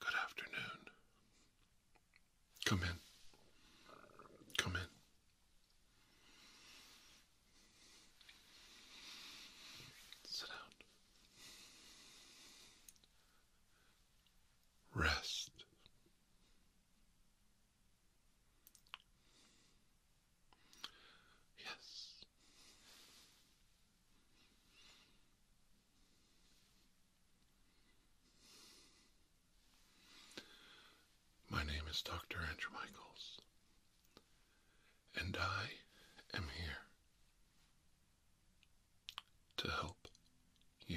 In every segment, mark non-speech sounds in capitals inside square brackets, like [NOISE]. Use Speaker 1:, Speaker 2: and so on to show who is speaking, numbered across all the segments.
Speaker 1: Good afternoon. Come in. Come in. Sit down. Rest. Yes. My name is Dr. Andrew Michaels, and I am here to help you.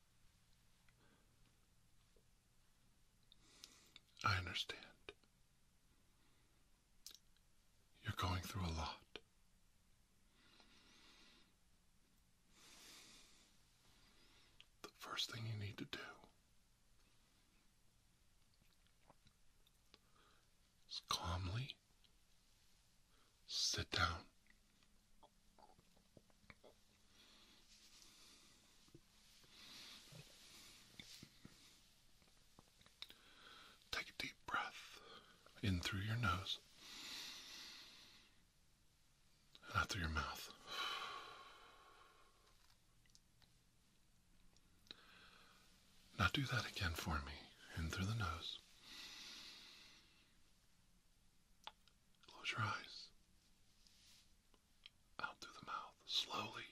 Speaker 1: I understand. You're going through a lot. The first thing you need to do is calmly sit down Take a deep breath in through your nose and out through your mouth. Now do that again for me in through the nose Close your eyes. Out through the mouth, slowly.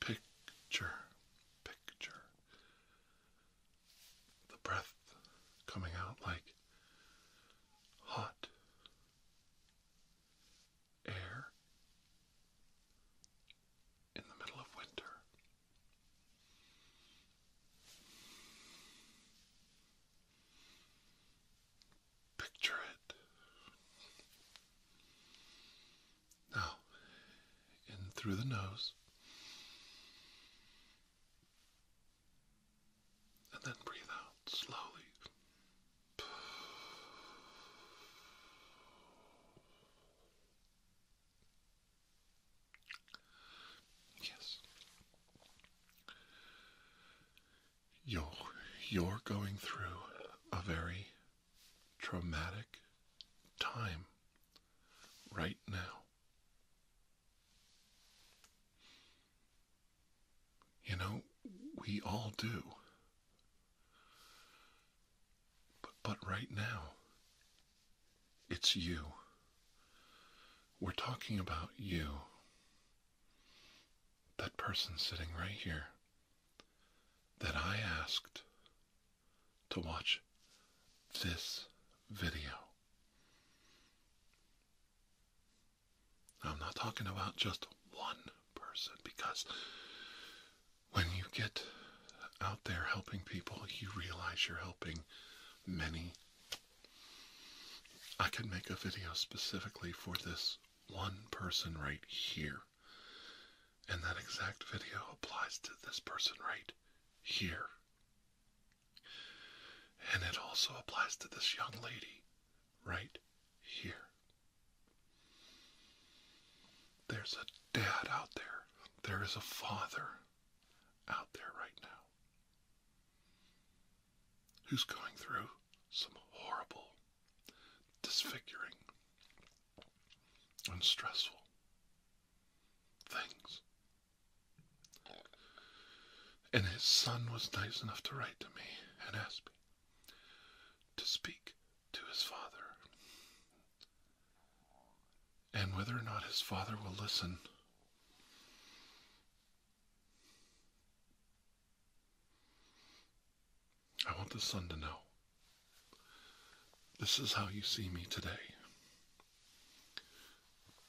Speaker 1: Picture, picture the breath coming out like hot air in the middle of winter. Picture it. Now, in through the nose, and then breathe out slowly. Yes. You're, you're going through a very traumatic time right now. You know, we all do. But, but right now, it's you. We're talking about you. That person sitting right here that I asked to watch this video. I'm not talking about just one person because when you get out there helping people, you realize you're helping many. I can make a video specifically for this one person right here. And that exact video applies to this person right here. And it also applies to this young lady right here. There's a dad out there. There is a father out there right now who's going through some horrible, disfiguring, and stressful things. And his son was nice enough to write to me and ask me to speak to his father and whether or not his father will listen. I want the son to know this is how you see me today.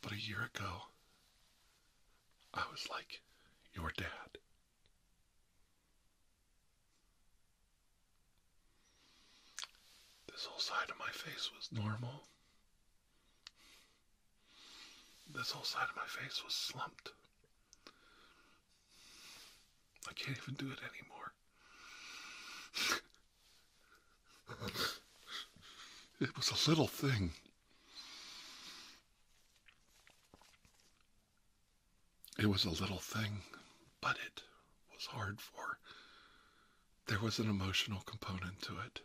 Speaker 1: But a year ago, I was like your dad. This whole side of my face was normal. This whole side of my face was slumped. I can't even do it anymore. [LAUGHS] it was a little thing. It was a little thing, but it was hard for there was an emotional component to it.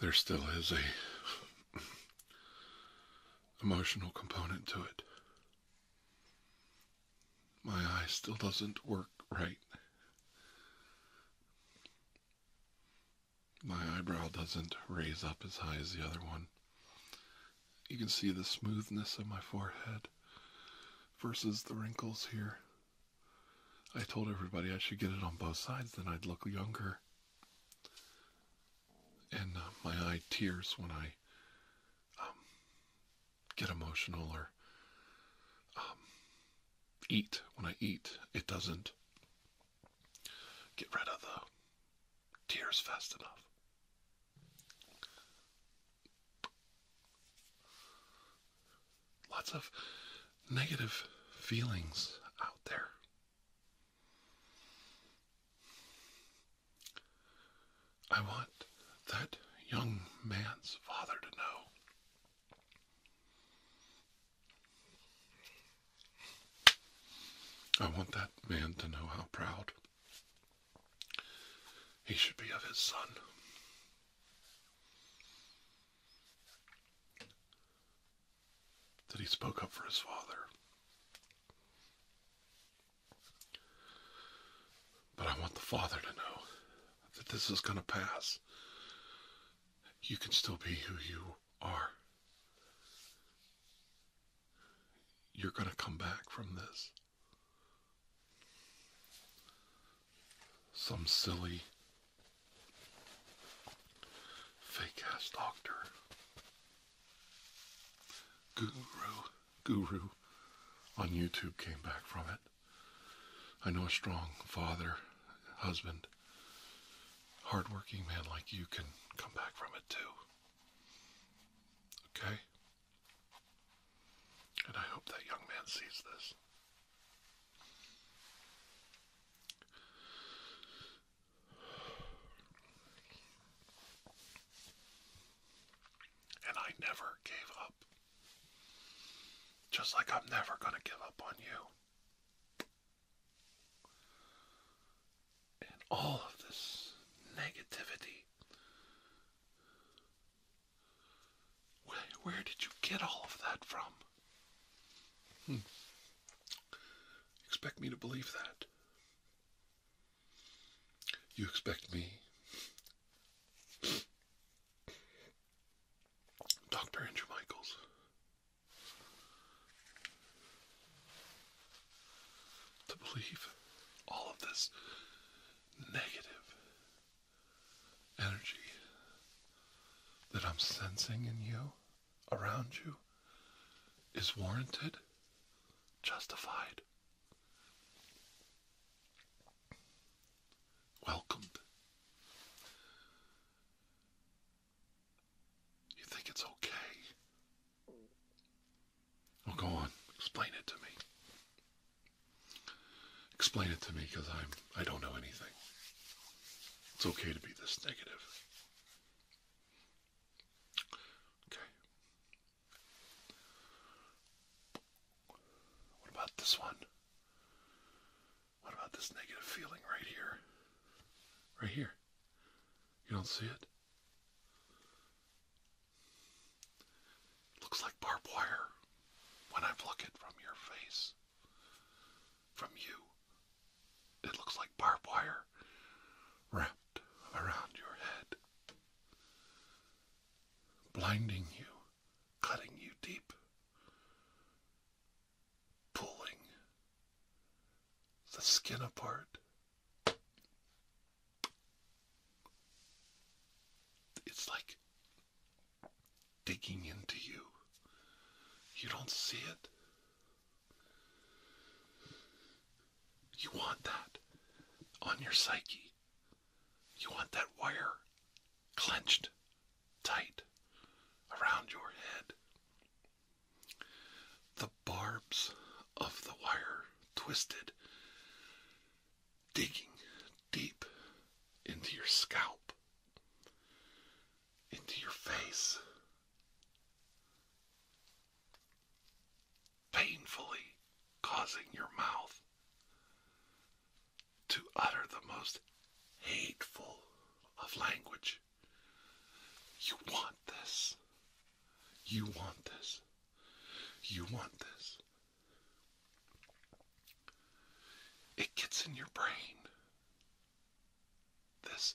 Speaker 1: There still is a emotional component to it. My eye still doesn't work right. My eyebrow doesn't raise up as high as the other one. You can see the smoothness of my forehead versus the wrinkles here. I told everybody I should get it on both sides, then I'd look younger and uh, my eye tears when I um, get emotional or um, eat. When I eat, it doesn't get rid of the tears fast enough. Lots of negative feelings out there. I want that young man's father to know I want that man to know how proud he should be of his son. That he spoke up for his father. But I want the Father to know that this is going to pass. You can still be who you are. You're going to come back from this. Some silly, fake ass doctor Guru, Guru on YouTube came back from it. I know a strong father, husband, hardworking man like you can come back from it too. Okay? And I hope that young man sees this. And I never gave up. Just like I'm never going to give up on you. And all of this negativity. Where, did you get all of that from? Hmm. Expect me to believe that. You expect me, Dr. Andrew Michaels, to believe all of this negative energy that I'm sensing in you, around you, is warranted? justified, welcomed. You think it's okay? Well, go on. Explain it to me. Explain it to me, because I'm I don't know anything. It's okay to be this negative. Okay. What about this one? What about this negative feeling right here? Right here. You don't see it? looks like barbed wire when I pluck it from your face. From you. It looks like barbed wire wrapped around your head, blinding you, cutting you deep, pulling the skin apart. It's like digging into you. You don't see it, you want that on your psyche. You want that wire clenched tight around your head. The barbs of the wire twisted, digging deep into your scalp, into your face painfully causing your mouth to utter the most hateful of language. You want this. You want this. You want this. It gets in your brain. This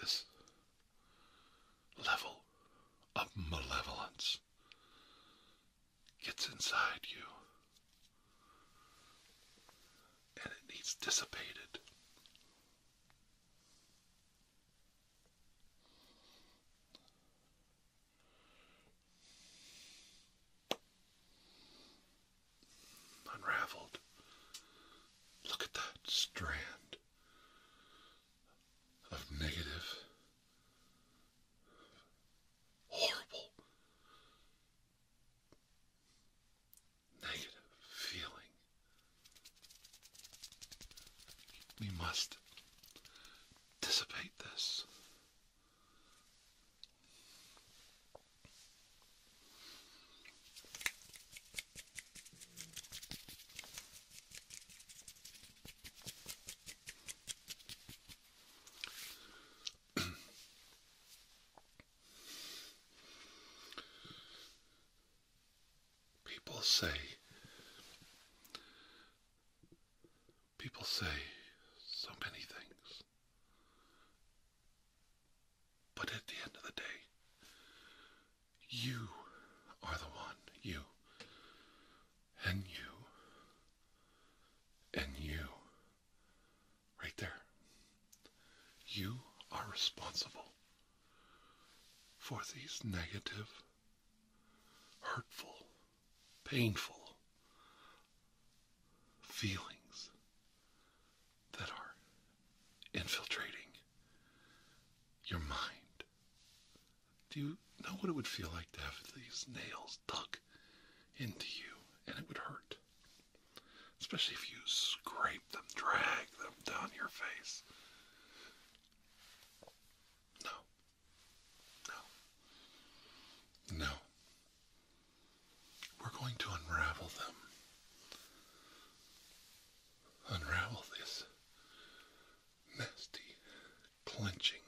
Speaker 1: this level of malevolence gets inside you and it needs dissipated unraveled. Look at that strand of negative, horrible, negative feeling. We must dissipate this people say, people say so many things. But at the end of the day, you are the one. You. And you. And you. Right there. You are responsible for these negative, hurtful, painful, feelings that are infiltrating your mind. Do you know what it would feel like to have these nails dug into you? And it would hurt. Especially if you scrape them, drag them down your face. No. No. No. We're going to unravel them. Unravel this nasty, clenching,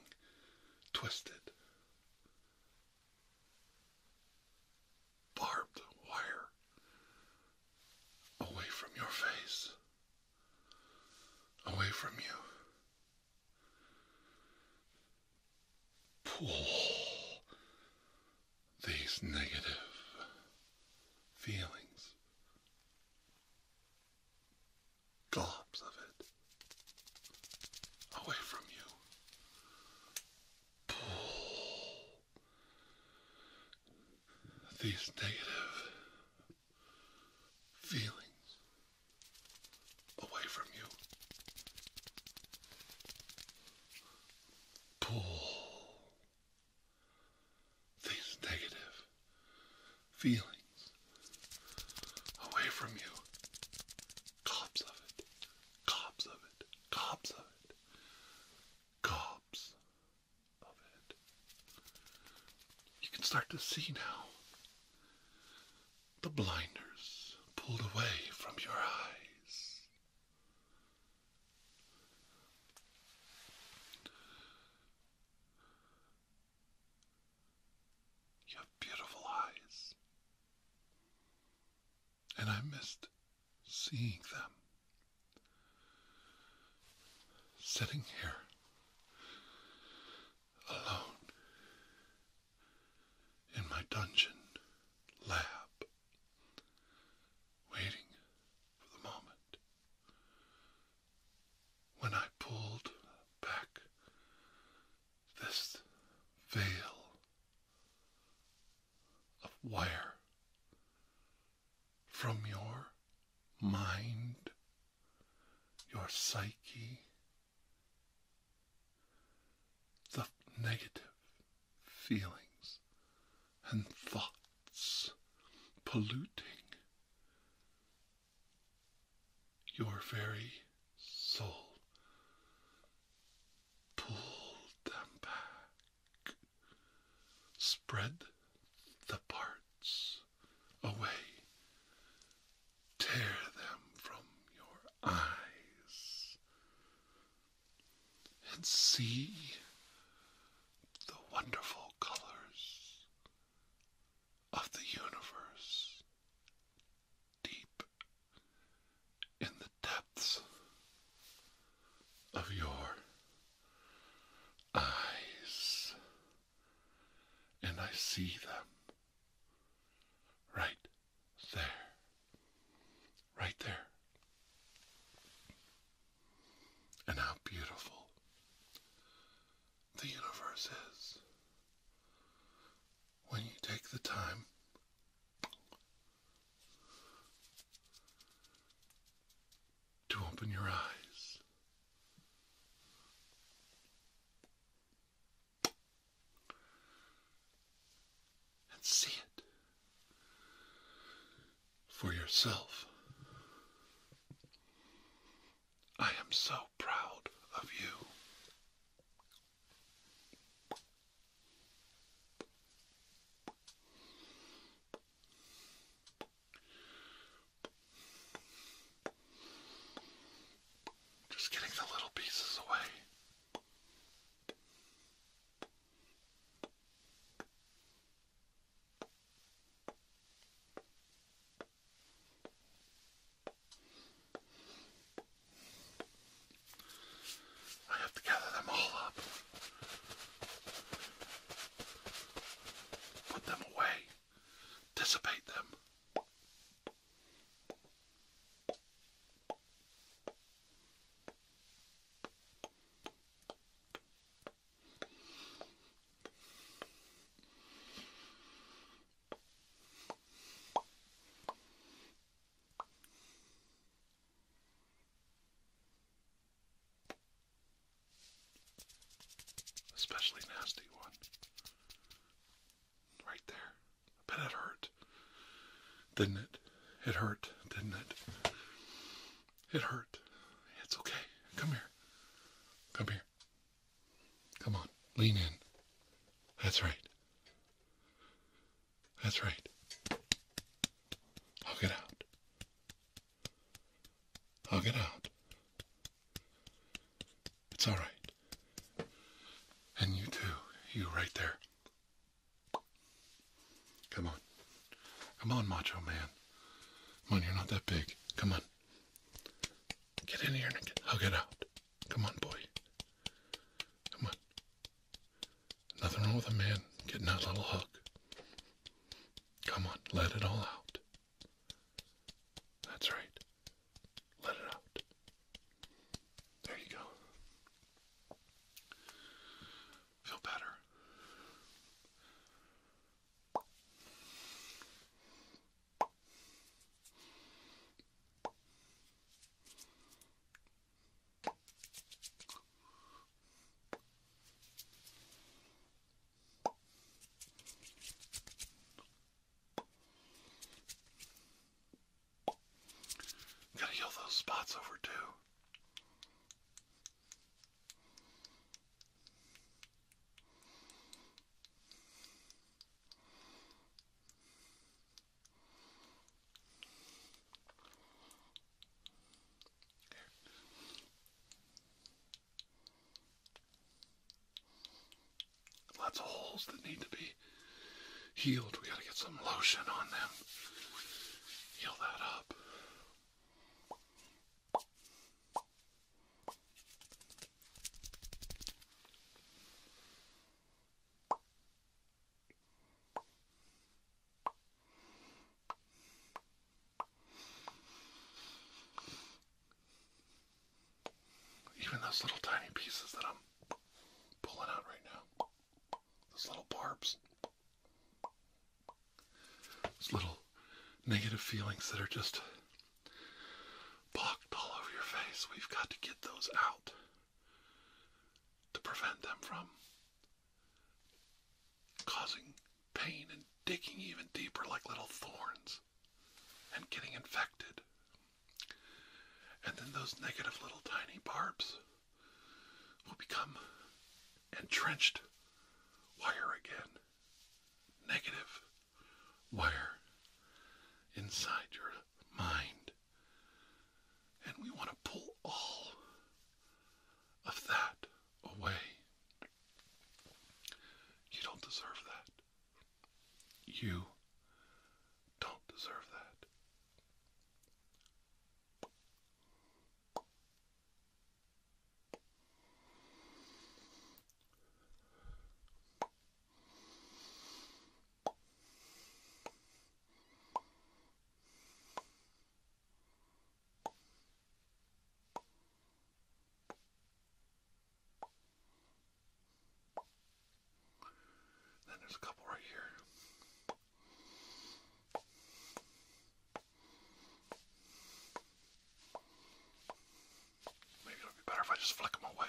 Speaker 1: twisted, barbed wire away from your face, away from you pull these negative feelings, globs of it, away from you. Pull these negative feelings. Away from you pull these negative feelings away from you. Cobs of it, cobs of it, cobs of it, cobs of it. You can start to see now the blinders pulled away from your eyes. You have beautiful eyes, and I missed seeing them. Sitting here alone in my dungeon lab, waiting for the moment when I pulled back this veil of wire from your mind, your psyche, the negative feelings and thoughts polluting your very soul. Pull them back, spread the parts away. Tear them from your eyes and see the wonderful colors of the universe deep in the depths of your eyes. And I see them right there, right there. And how beautiful the universe is when you take the time to open your eyes and see it for yourself. I am so proud of you. Just getting the little pieces away. I have to gather them all up, put them away, dissipate them. Especially nasty one. Right there. But it hurt, didn't it? It hurt, didn't it? It hurt. It's okay. Come here. Come here. Come on. Lean in. That's right. That's right. I'll get out. I'll get out. It's all right. And you too. You right there. Come on. Come on, Macho Man. Come on, you're not that big. Come on. Get in here and I'll get out. Come on, boy. Come on. Nothing wrong with a man getting that little hug. Come on, let it all out. That's right. Let it out. There you go. Feel better i to heal those spots over too. Lots of holes that need to be healed. We gotta get some lotion on them heal that up. Even those little tiny pieces that I'm pulling out right now, those little barbs. Those little negative feelings that are just blocked all over your face. We've got to get those out to prevent them from causing pain and digging even deeper like little thorns and getting infected. And then those negative little tiny barbs will become entrenched wire again. Negative wire inside your mind. And we want to pull all of that away. You don't deserve that. You don't deserve that. Then there's a couple right here. Maybe it'll be better if I just flick them away.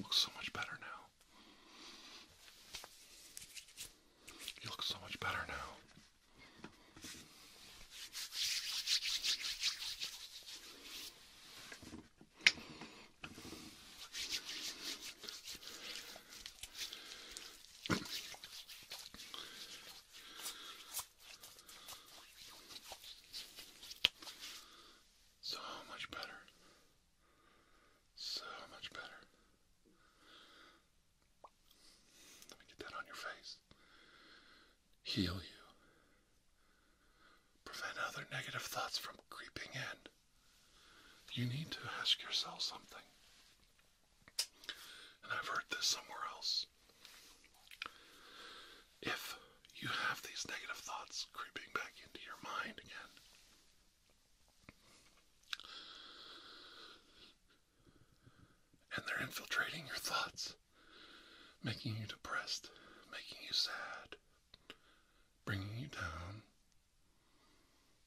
Speaker 1: Looks so much better now. You look so much better now. So much better. So much better. Let me get that on your face. Heal you. Prevent other negative thoughts from creeping in. You need to ask yourself something. And I've heard this somewhere else. If you have these negative thoughts creeping back into your mind again, and they're infiltrating your thoughts, making you depressed, making you sad, bringing you down,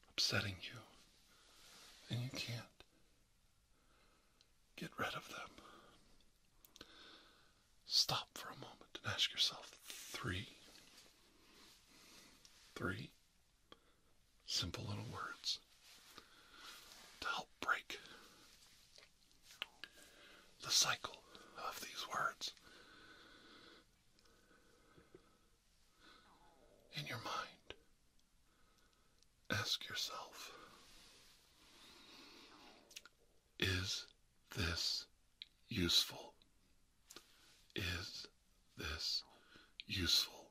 Speaker 1: upsetting you. And you can't get rid of them. Stop for a moment and ask yourself three, three, Simple little words to help break the cycle of these words in your mind. Ask yourself Is this useful is this useful?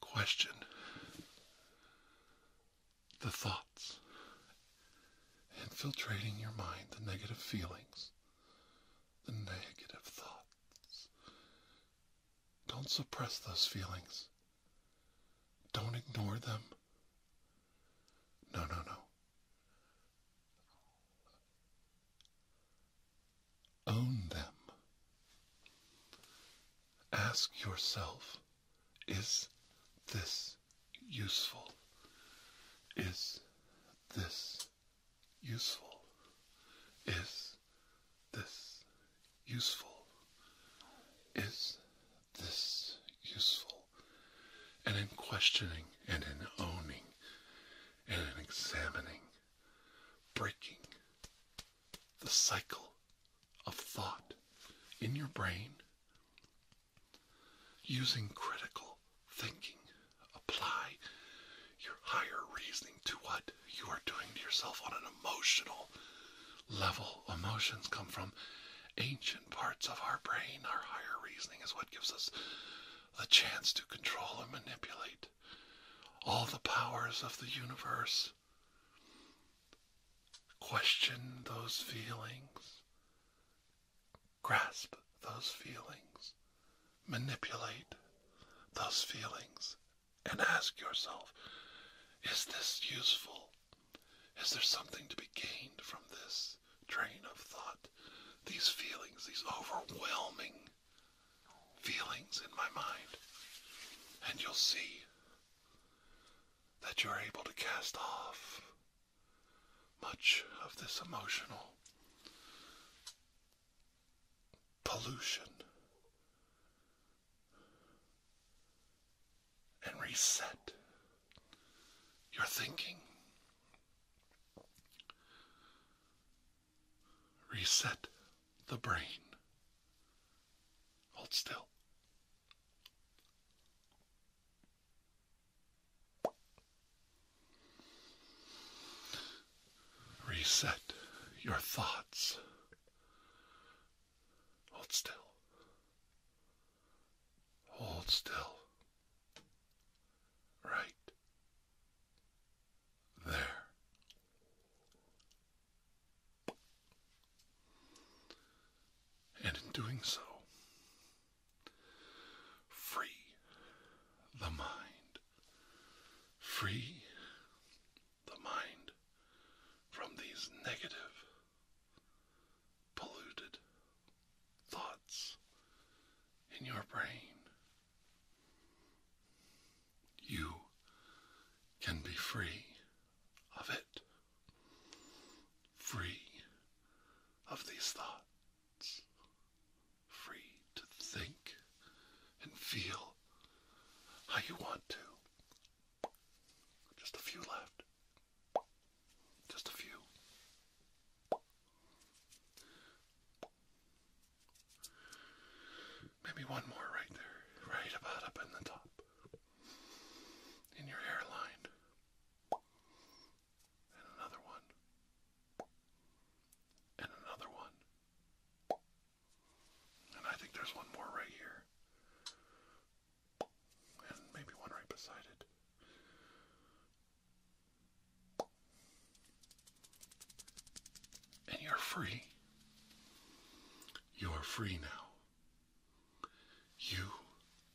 Speaker 1: Question the thoughts infiltrating your mind, the negative feelings, the negative thoughts. Don't suppress those feelings, don't ignore them. No, no, no. Own them. Ask yourself is this useful? Is this useful? Is this useful? Is this useful, and in questioning and in owning and in examining, breaking the cycle of thought in your brain, using critical thinking, apply your higher reasoning to what you are doing to yourself on an emotional level emotions come from ancient parts of our brain, our higher reasoning, is what gives us the chance to control and manipulate all the powers of the universe. Question those feelings, grasp those feelings, manipulate those feelings, and ask yourself is this useful? Is there something to be gained from this? train of thought, these feelings, these overwhelming feelings in my mind, and you'll see that you're able to cast off much of this emotional pollution and reset your thinking. Reset the brain. Hold still. Reset your thoughts. Hold still. Hold still. Right there. And in doing so, free the mind. Free the mind from these negative, polluted thoughts in your brain. You can be free of it, free of these thoughts, free to think and feel how you want to. Just a few left. Just a few. Maybe one more right there, right about up in the top, in your hairline. And another one. And another one. And I think there's one more right here. And maybe one right beside it. And you're free. You are free now. You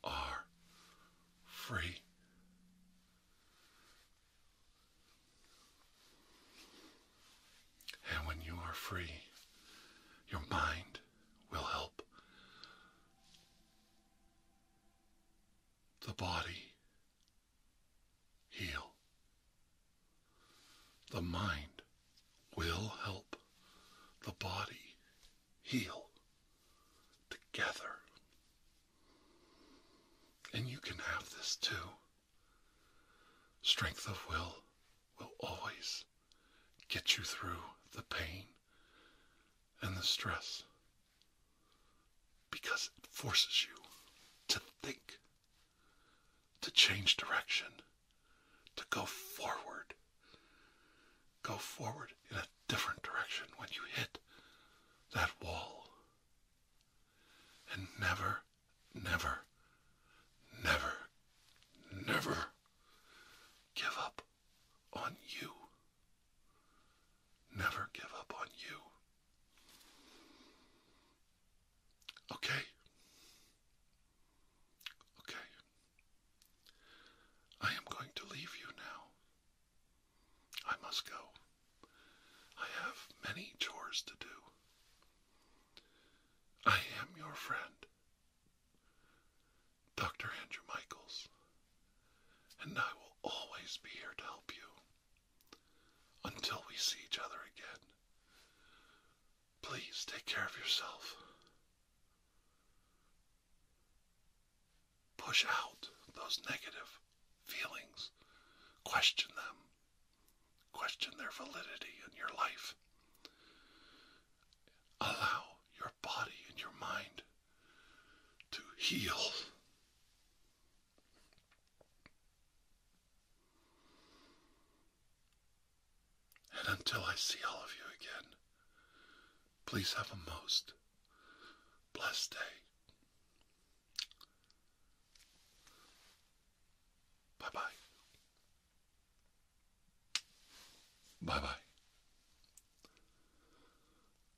Speaker 1: are free. And when you are free, your mind will help the body heal. The mind will help the body heal together. And you can have this too. Strength of will will always get you through the pain and the stress because it forces you to think, to change direction, to go forward. Go forward in a different direction when you hit that wall. And never, never, never, never give up on you. Never give up on you. Okay? Okay. I am going to leave you now. I must go. I have many chores to do. I am your friend, Dr. Andrew Michaels and I will always be here to help you until we see each other again. Please take care of yourself. Push out those negative feelings, question them, question their validity in your life. Allow your body and your mind to heal and until I see all of you again, please have a most blessed day. Bye bye. Bye bye.